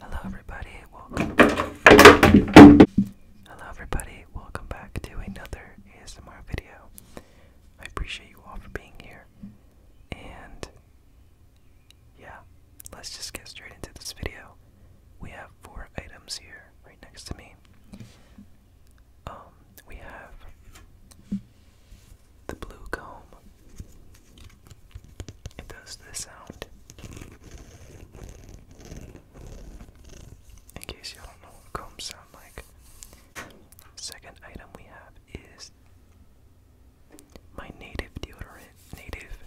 Hello, everybody. Welcome. Hello, everybody. Welcome back to another ASMR video. I appreciate you all for being here. And yeah, let's just get straight into this video. We have four items here, right next to me. Um, we have the blue comb. It does this sound. In case you don't know combs sound like. Second item we have is my native deodorant. Native.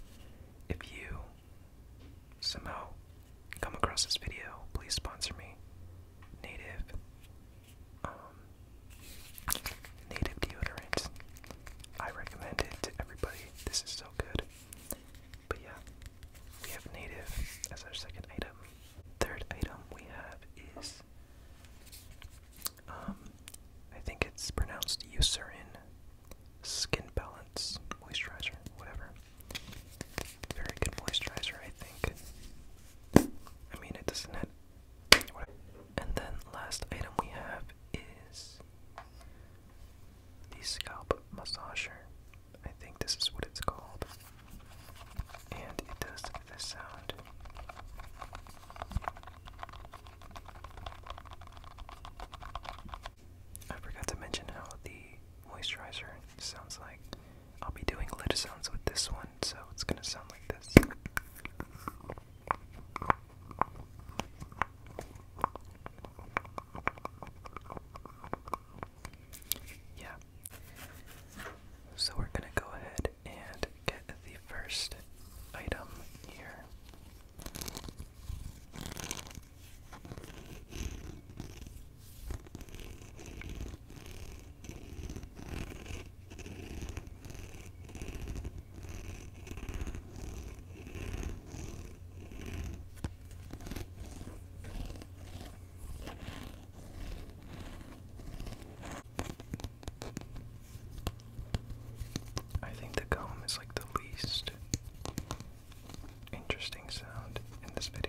If you somehow come across this video, please sponsor me. Native. Um, native deodorant. I recommend it to everybody. This is so good. But yeah, we have native as our second item. Third item we have is um, I think it's pronounced Eucerin Skin Balance Moisturizer, whatever. Very good moisturizer, I think. I mean, it doesn't have. And then last item we have is the scalp massager. I think this is what it's called, and it does this sound. I forgot to mention how the moisturizer sounds like. I'll be doing lid sounds with this one, so it's gonna sound like this. Yeah. So we're gonna go ahead and the first item here. I think the comb is like the least interesting sound in this video.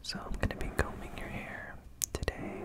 So, I'm going to be combing your hair today.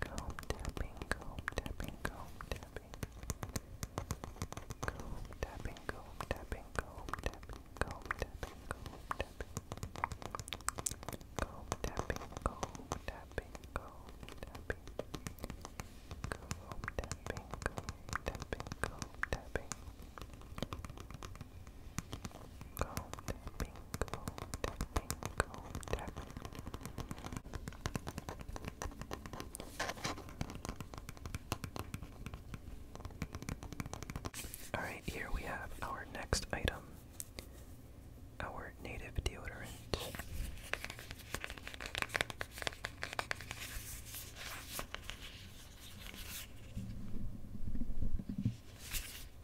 Comb tapping, comb tapping, comb tapping. Comb tapping, comb tapping, comb tapping, comb tapping, comb tapping. Comb tapping, comb tapping, comb tapping. Comb tapping, comb tapping, comb tapping. Comb tapping. Alright, here we have our next item our native deodorant.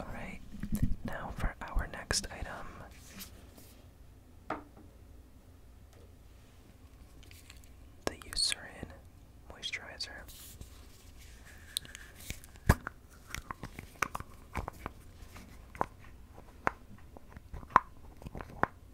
All right, now for our next item the Eucerin moisturizer.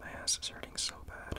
My ass is hurting so bad.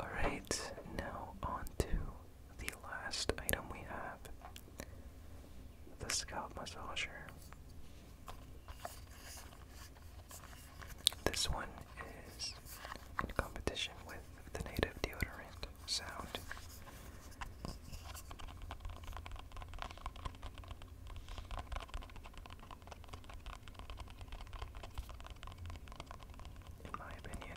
Alright, now on to the last item we have the scalp massager. This one is in competition with the native deodorant sound in my opinion.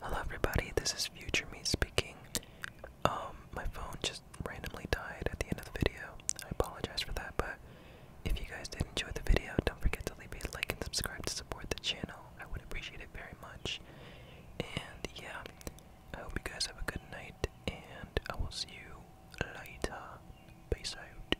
Hello everybody, this is Future Me speaking. Um, my phone just randomly died at the end of the video. I apologize for that, but if you guys did enjoy the video, don't forget to leave a like and subscribe to support the channel. I would appreciate it very much. And yeah, I hope you guys have a good night, and I will see you later. Peace out.